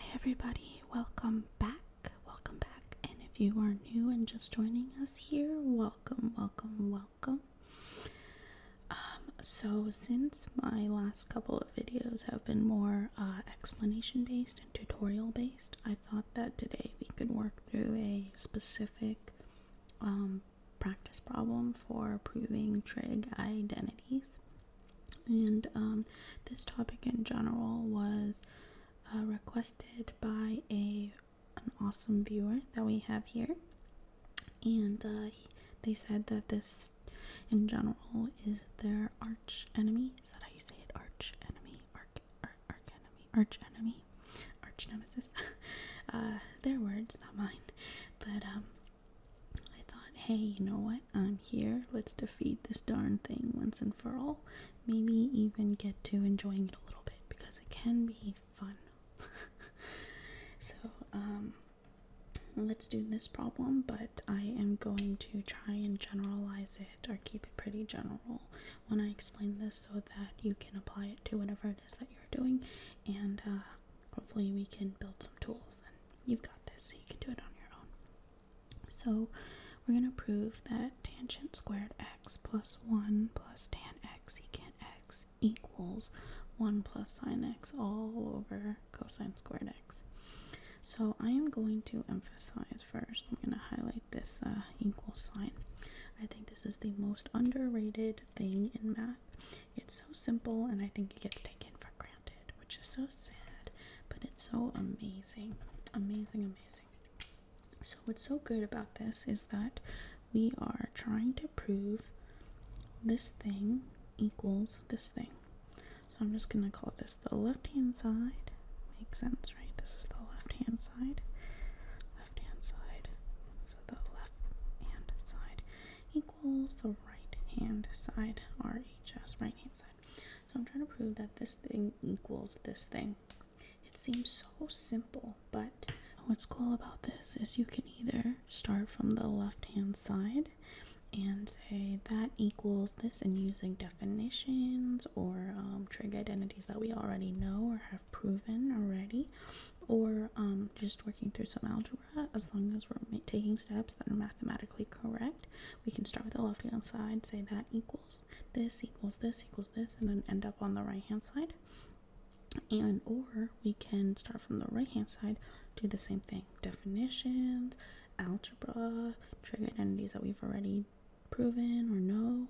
Hi everybody, welcome back. Welcome back. And if you are new and just joining us here, welcome, welcome, welcome. Um, so since my last couple of videos have been more uh, explanation based and tutorial based, I thought that today we could work through a specific um, practice problem for proving trig identities. And um, this topic in general was uh, requested by a an awesome viewer that we have here, and uh, they said that this in general is their arch enemy. Is that how you say it? Arch enemy, arch, arch, enemy, arch enemy, arch nemesis. uh, their words, not mine. But um, I thought, hey, you know what? I'm here. Let's defeat this darn thing once and for all. Maybe even get to enjoying it a little bit because it can be fun. so, um, let's do this problem, but I am going to try and generalize it or keep it pretty general when I explain this so that you can apply it to whatever it is that you're doing. And uh, hopefully, we can build some tools and you've got this so you can do it on your own. So we're going to prove that tangent squared x plus 1 plus tan x secant x equals 1 plus sine x all over cosine squared x. So I am going to emphasize first, I'm going to highlight this uh, equal sign. I think this is the most underrated thing in math. It's so simple and I think it gets taken for granted which is so sad, but it's so amazing. Amazing, amazing. So, what's so good about this is that we are trying to prove this thing equals this thing. So, I'm just going to call this the left hand side. Makes sense, right? This is the left hand side. Left hand side. So, the left hand side equals the right hand side, RHS, right hand. So I'm trying to prove that this thing equals this thing. It seems so simple, but what's cool about this is you can either start from the left hand side and say that equals this and using definitions or um, trig identities that we already know or have proven already or um, just working through some algebra as long as we're taking steps that are mathematically correct, we can start with the left hand side, say that equals this, equals this, equals this, and then end up on the right hand side. And or we can start from the right hand side, do the same thing. Definitions, algebra, trig identities that we've already proven or know,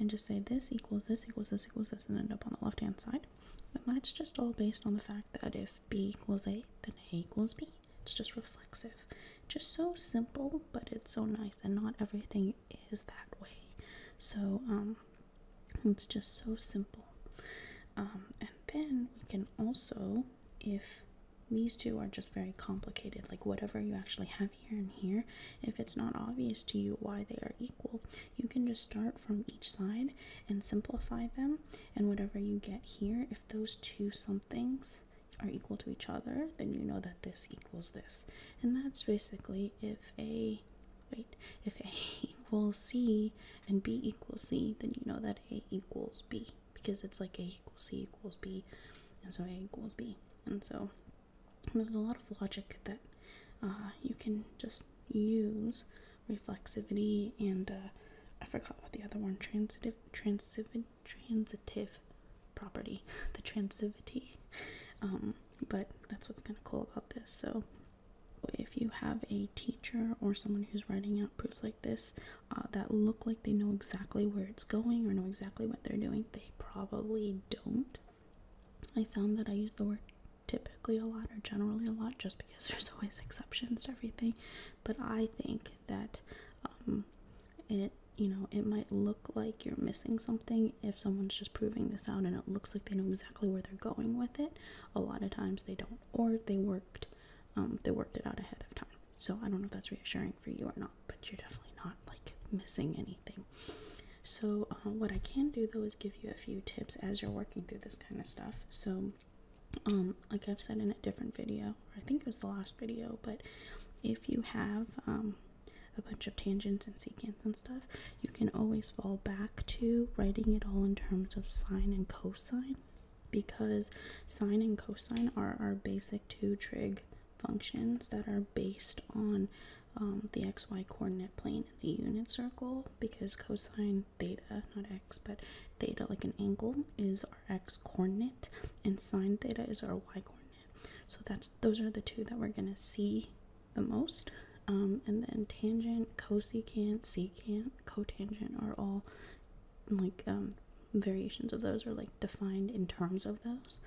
and just say this equals this equals this equals this, and end up on the left hand side. And that's just all based on the fact that if b equals a, then a equals b. It's just reflexive. Just so simple, but it's so nice, and not everything is that way. So, um, it's just so simple. Um, and then we can also, if these two are just very complicated, like whatever you actually have here and here, if it's not obvious to you why they are equal, you can just start from each side and simplify them. And whatever you get here, if those two somethings are equal to each other, then you know that this equals this. And that's basically if A wait, if A equals C and B equals C, then you know that A equals B because it's like A equals C equals B and so A equals B. And so there's a lot of logic that uh, you can just use reflexivity, and uh, I forgot what the other one transitive, transitive, transitive property, the transitivity. Um, but that's what's kind of cool about this. So, if you have a teacher or someone who's writing out proofs like this uh, that look like they know exactly where it's going or know exactly what they're doing, they probably don't. I found that I use the word typically a lot or generally a lot just because there's always exceptions to everything. But I think that um, it you know it might look like you're missing something if someone's just proving this out and it looks like they know exactly where they're going with it. A lot of times they don't, or they worked um, they worked it out ahead of time. So I don't know if that's reassuring for you or not, but you're definitely not like missing anything. So, uh, what I can do though is give you a few tips as you're working through this kind of stuff. So, um, like I've said in a different video, I think it was the last video, but if you have um, a bunch of tangents and secants and stuff, you can always fall back to writing it all in terms of sine and cosine because sine and cosine are our basic two trig functions that are based on um, the xy coordinate plane and the unit circle because cosine theta, not x, but theta, like an angle, is our x coordinate, and sine theta is our y coordinate. So that's those are the two that we're gonna see the most. Um, and then tangent, cosecant, secant, cotangent are all like um, variations of those are like defined in terms of those.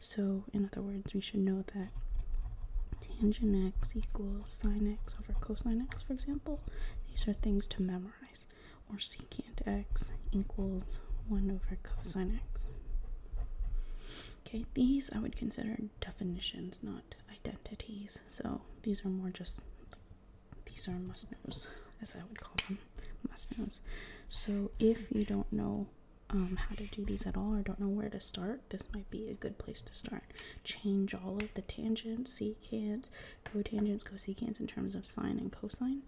So in other words, we should know that tangent x equals sine x over cosine x, for example these are things to memorize. Or secant x equals 1 over cosine x. Okay, these I would consider definitions, not identities. So these are more just, these are must-knows, as I would call them, must-knows. So if you don't know um, how to do these at all or don't know where to start, this might be a good place to start. Change all of the tangent see cotangents, cosecants in terms of sine and cosine.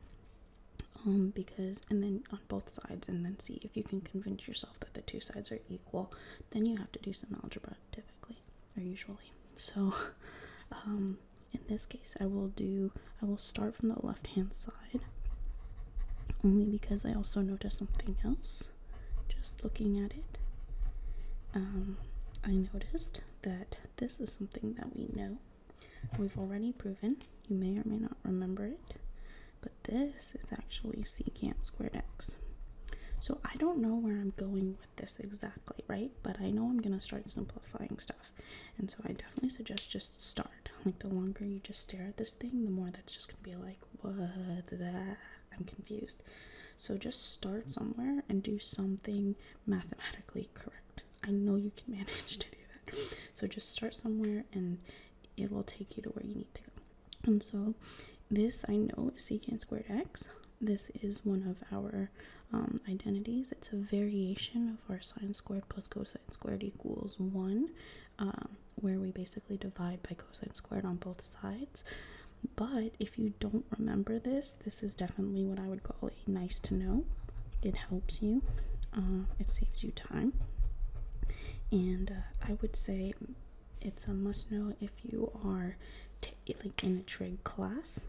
Um, because and then on both sides, and then see if you can convince yourself that the two sides are equal, then you have to do some algebra typically or usually. So, um, in this case, I will do I will start from the left hand side only because I also noticed something else just looking at it um, I noticed that this is something that we know we've already proven you may or may not remember it but this is actually secant squared x so I don't know where I'm going with this exactly right but I know I'm gonna start simplifying stuff and so I definitely suggest just start like the longer you just stare at this thing the more that's just gonna be like what the I'm confused. So just start somewhere and do something mathematically correct. I know you can manage to do that. So just start somewhere and it will take you to where you need to go. And so this I know secant squared x. This is one of our um, identities. It's a variation of our sine squared plus cosine squared equals 1, um, where we basically divide by cosine squared on both sides. But if you don't remember this, this is definitely what I would call a nice to know. It helps you, uh, it saves you time. And uh, I would say it's a must know if you are like in a trig class.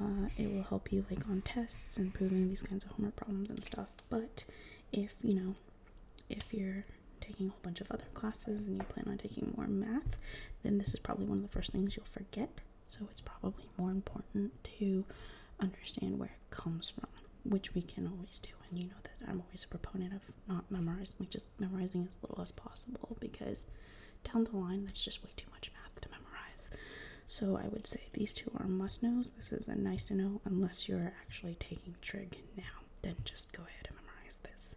Uh, it will help you like on tests and proving these kinds of homework problems and stuff. But if you know if you're taking a whole bunch of other classes and you plan on taking more math, then this is probably one of the first things you'll forget. So it's probably more important to understand where it comes from, which we can always do. And you know that I'm always a proponent of not memorizing, just memorizing as little as possible because down the line, that's just way too much math to memorize. So I would say these two are must knows. This is a nice to know unless you're actually taking trig now then just go ahead and memorize this.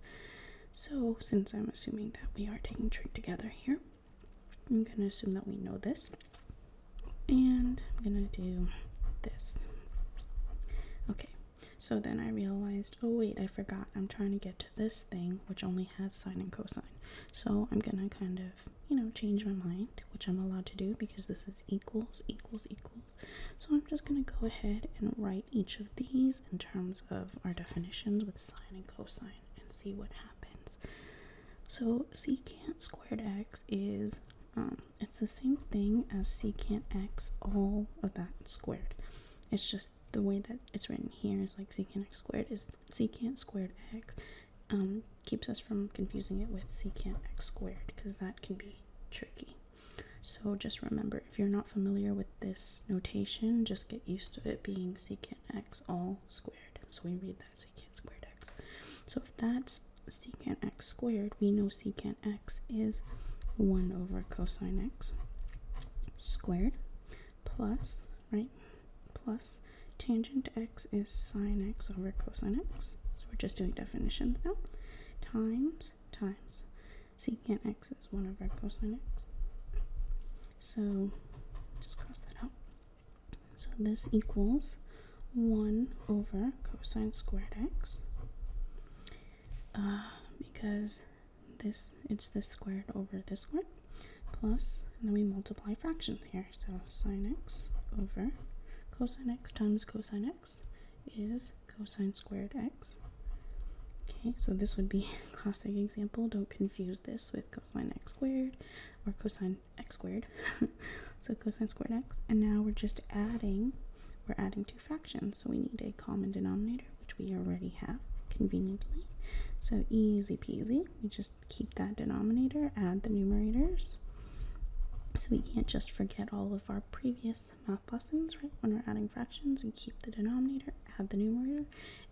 So, since I'm assuming that we are taking trig together here, I'm going to assume that we know this. And I'm going to do this. Okay, so then I realized, oh wait, I forgot. I'm trying to get to this thing, which only has sine and cosine. So I'm going to kind of, you know, change my mind, which I'm allowed to do because this is equals, equals, equals. So I'm just going to go ahead and write each of these in terms of our definitions with sine and cosine and see what happens. So secant squared x is um, it's the same thing as secant x all of that squared. It's just the way that it's written here is like secant x squared is secant squared x um, keeps us from confusing it with secant x squared because that can be tricky. So just remember if you're not familiar with this notation, just get used to it being secant x all squared. So we read that secant squared x. So if that's secant x squared, we know secant x is 1 over cosine x squared plus, right, plus tangent x is sine x over cosine x. So we're just doing definitions now. Times times secant x is 1 over cosine x. So just cross that out. So this equals 1 over cosine squared x uh, because this it's this squared over this one. Plus, and then we multiply fractions here so sine x over cosine x times cosine x is cosine squared x. Okay, so this would be classic example. Don't confuse this with cosine x squared or cosine x squared. so cosine squared x. And now we're just adding, we're adding two fractions. So we need a common denominator, which we already have conveniently. So easy peasy. We just keep that denominator, add the numerators. So we can't just forget all of our previous math half blessings, right? When we're adding fractions, we keep the denominator, add the numerator,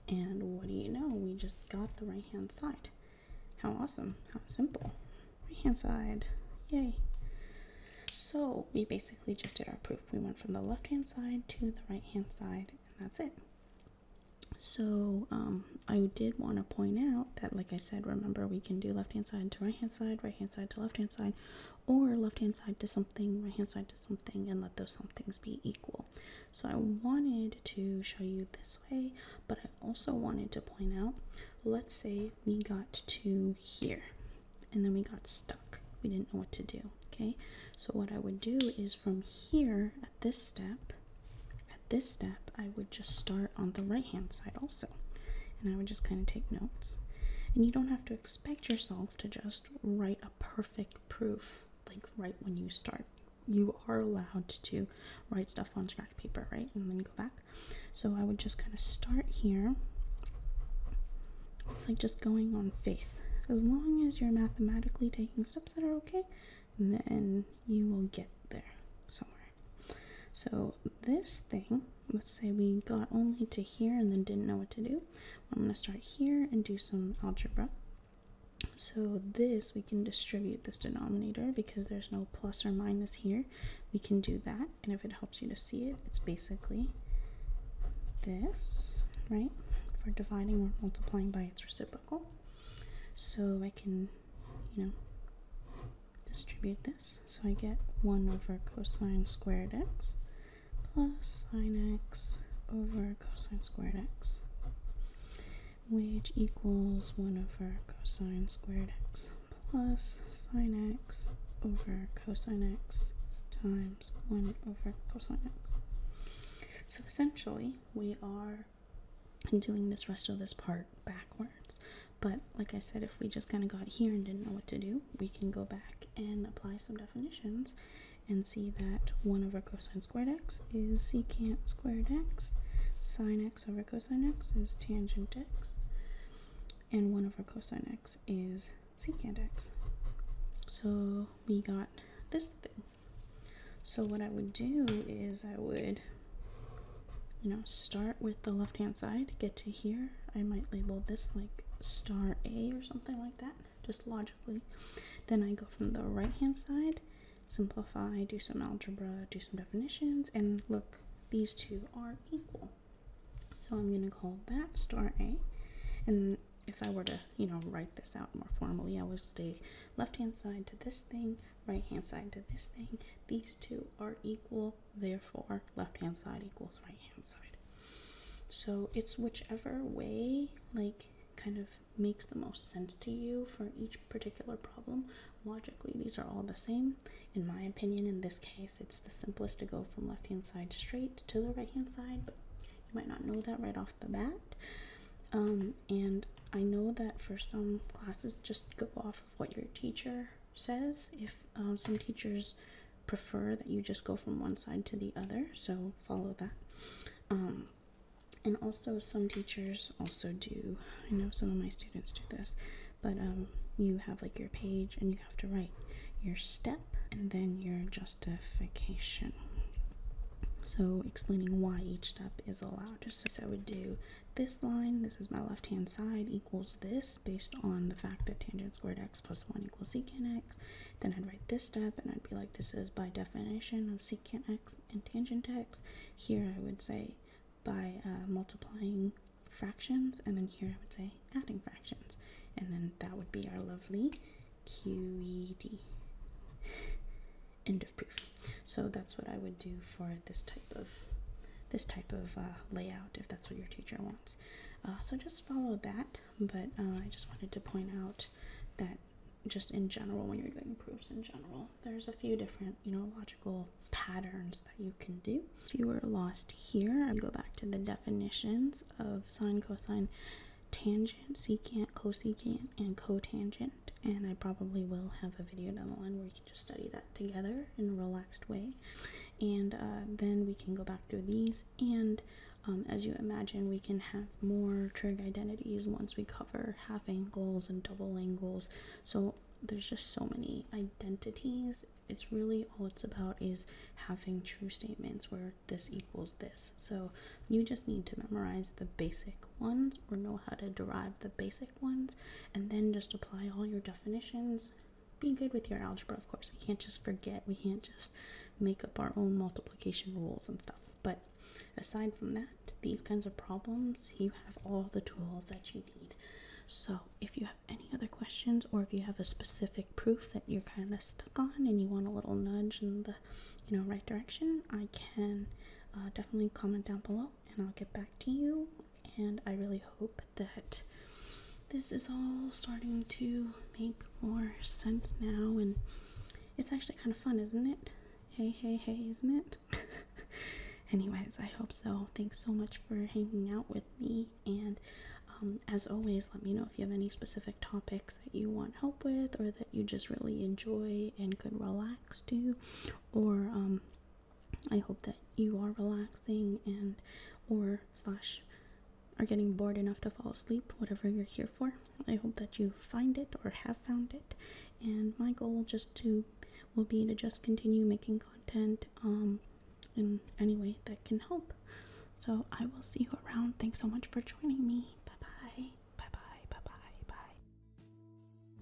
and what do you know? We just got the right hand side. How awesome! How simple. Right hand side. Yay. So we basically just did our proof. We went from the left hand side to the right hand side, and that's it. So um, I did want to point out that, like I said, remember we can do left hand side to right hand side, right hand side to left hand side, or left hand side to something, right hand side to something, and let those somethings be equal. So I wanted to show you this way, but I also wanted to point out, let's say we got to here and then we got stuck. We didn't know what to do, okay? So what I would do is from here at this step, at this step, I would just start on the right hand side also. And I would just kind of take notes. And you don't have to expect yourself to just write a perfect proof like right when you start. You are allowed to write stuff on scratch paper, right? And then go back. So I would just kind of start here. It's like just going on faith. As long as you're mathematically taking steps that are okay, then you will get there somewhere. So this thing let's say we got only to here and then didn't know what to do. I'm going to start here and do some algebra. So this, we can distribute this denominator because there's no plus or minus here. We can do that, and if it helps you to see it, it's basically this, right? For dividing or multiplying by its reciprocal. So I can, you know, distribute this. So I get 1 over cosine squared x plus sine x over cosine squared x, which equals 1 over cosine squared x plus sine x over cosine x times 1 over cosine x. So essentially, we are doing this rest of this part backwards. But like I said, if we just kind of got here and didn't know what to do, we can go back and apply some definitions and see that 1 over cosine squared x is secant squared x, sine x over cosine x is tangent x, and 1 over cosine x is secant x. So we got this thing. So what I would do is I would you know, start with the left hand side, get to here. I might label this like star A or something like that, just logically. Then I go from the right hand side, simplify, do some algebra, do some definitions, and look, these two are equal. So I'm going to call that star A. And if I were to, you know, write this out more formally, I would say left hand side to this thing, right hand side to this thing. These two are equal therefore left hand side equals right hand side. So it's whichever way, like, kind of makes the most sense to you for each particular problem. Logically, these are all the same. In my opinion, in this case, it's the simplest to go from left hand side straight to the right hand side, but you might not know that right off the bat. Um, and I know that for some classes, just go off what your teacher says. If um, some teachers prefer that you just go from one side to the other, so follow that. Um, and also, some teachers also do. I know some of my students do this, but um, you have like your page and you have to write your step and then your justification. So, explaining why each step is allowed. Just as I would do this line, this is my left-hand side, equals this based on the fact that tangent squared x plus 1 equals secant x. Then I'd write this step and I'd be like, this is by definition of secant x and tangent x. Here I would say by uh, multiplying fractions, and then here I would say adding fractions. And then that would be our lovely QED. End of proof. So that's what I would do for this type of this type of uh, layout if that's what your teacher wants. Uh, so just follow that. But uh, I just wanted to point out that just in general, when you're doing proofs in general, there's a few different you know logical patterns that you can do. If you were lost here, I go back to the definitions of sine, cosine, tangent, secant, cosecant, and cotangent. And I probably will have a video down the line where you just study that together in a relaxed way. And uh, then we can go back through these. And um, as you imagine, we can have more trig identities once we cover half angles and double angles. So there's just so many identities. It's really all it's about is having true statements where this equals this. So you just need to memorize the basic ones or know how to derive the basic ones and then just apply all your definitions. Be good with your algebra, of course. We can't just forget, we can't just make up our own multiplication rules and stuff. But aside from that, these kinds of problems, you have all the tools that you need. So, if you have any other questions or if you have a specific proof that you're kind of stuck on and you want a little nudge in the you know right direction, I can uh, definitely comment down below and I'll get back to you. And I really hope that this is all starting to make more sense now. And it's actually kind of fun, isn't it? Hey, hey, hey, isn't it? Anyways, I hope so. Thanks so much for hanging out with me. And um, as always, let me know if you have any specific topics that you want help with or that you just really enjoy and could relax to or um, I hope that you are relaxing and or slash are getting bored enough to fall asleep, whatever you're here for. I hope that you find it or have found it. And my goal just to will be to just continue making content um in any way that can help. So I will see you around. Thanks so much for joining me. Bye bye. Bye bye. Bye bye. Bye.